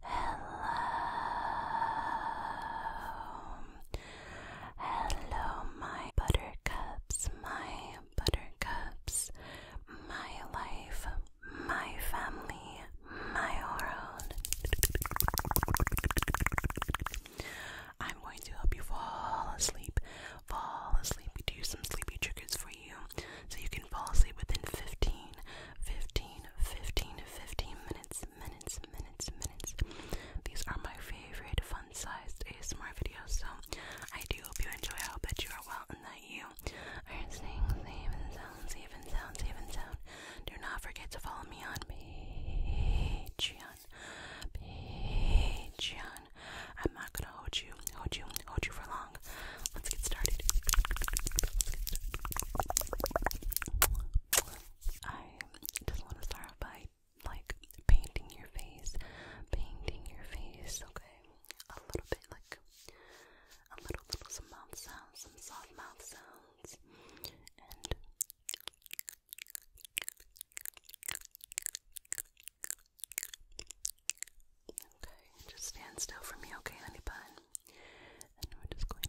Hello. Hello, my buttercups, my buttercups, my life, my family, my world. I'm going to help you fall asleep, fall asleep, do some sleepy tricks for you so you can fall asleep within 15, 15, 15, 15 minutes, minutes, minutes, minutes. These are my favorite fun sized ASMR videos, so I do hope you enjoy. I hope that you are well and that you are staying safe and sound, safe and sound, safe and sound. Do not forget to follow me on Patreon. Patreon. I'm not gonna hold you, hold you, hold you for long. Let's get started. I just want to start by like painting your face, painting your face, okay? A little bit like a little little some mouth sounds, some soft mouth sounds, and Okay, just stand still for me, okay, honey bun? And we're just going to.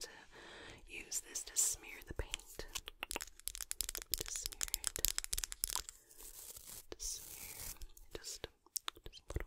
to use this to smear the paint. To smear it. To smear. Just, just a little.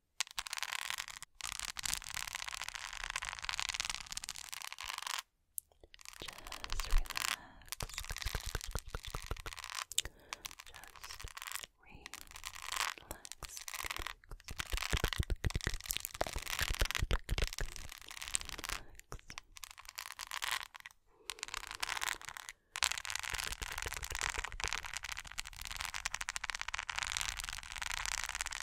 Just relax. Just relax. Relax.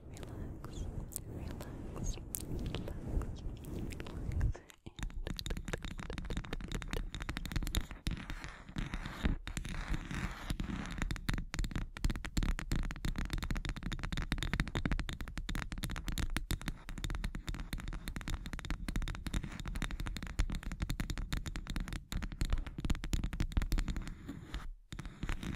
relax, relax, relax, relax, and then going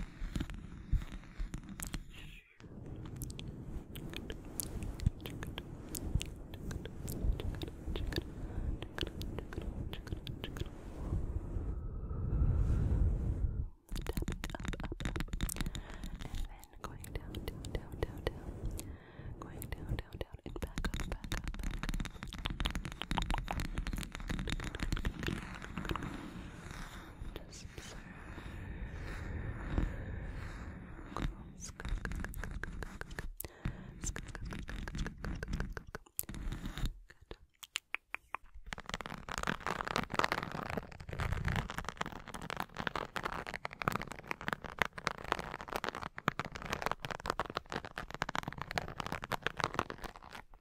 down, down, down, down, down, going down, down, down, and back up, back up, back up just observe. Close. Good.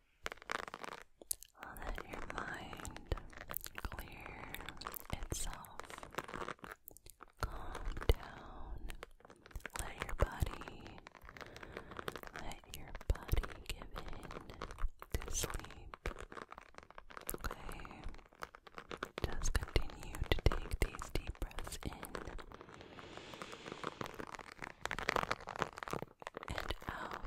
Let your mind clear itself. Calm down. Let your body, let your body give in to sleep. Okay? Just continue to take these deep breaths in and out. Okay. Okay.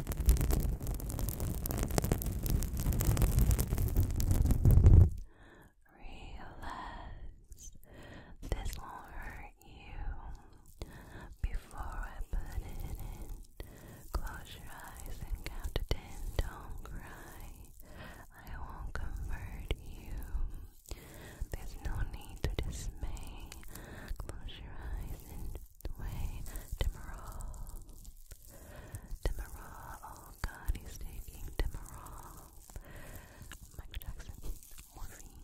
Relax. This won't hurt you. Before I put it in, close your eyes and count to ten. Don't cry. I won't convert you. There's no need to dismay. Close your eyes and Dwayne Demerol. Demerol. Oh god, he's taking Demerol. Michael Jackson. Morphine.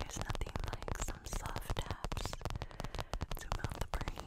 There's nothing like some soft taps to melt the brain.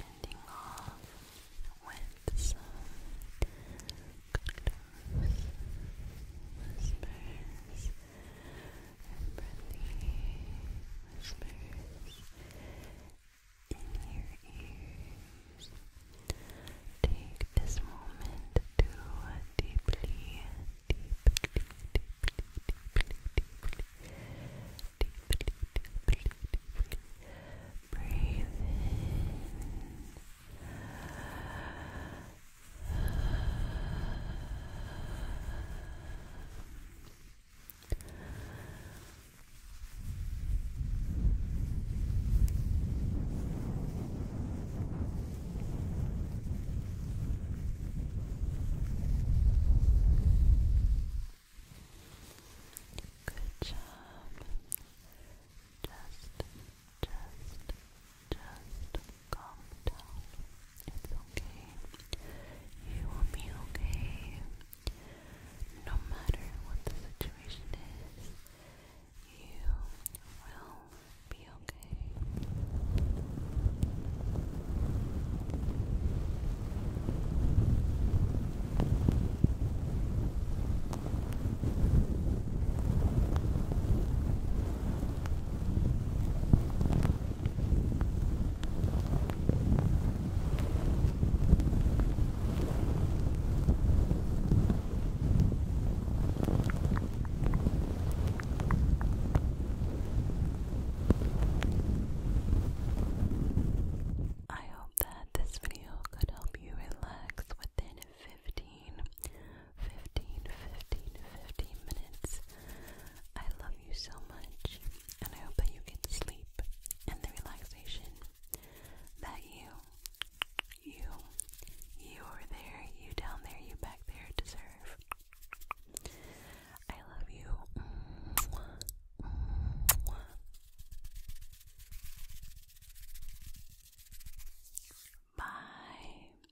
Ending off with some cuddles, whispers, friendly whispers in your ears. Take this moment to deeply, deeply, deeply, deeply, deeply, deeply, deeply, deeply breathe in. Good job. Just, just, just calm down. It's okay. You will be okay. No matter what the situation is, you will be okay. I hope that this video could help you relax within 15, minutes I love you so much, and I hope that you get the sleep and the relaxation that you, you, you are there, you down there, you back there deserve. I love you. Mwah, mwah. Bye.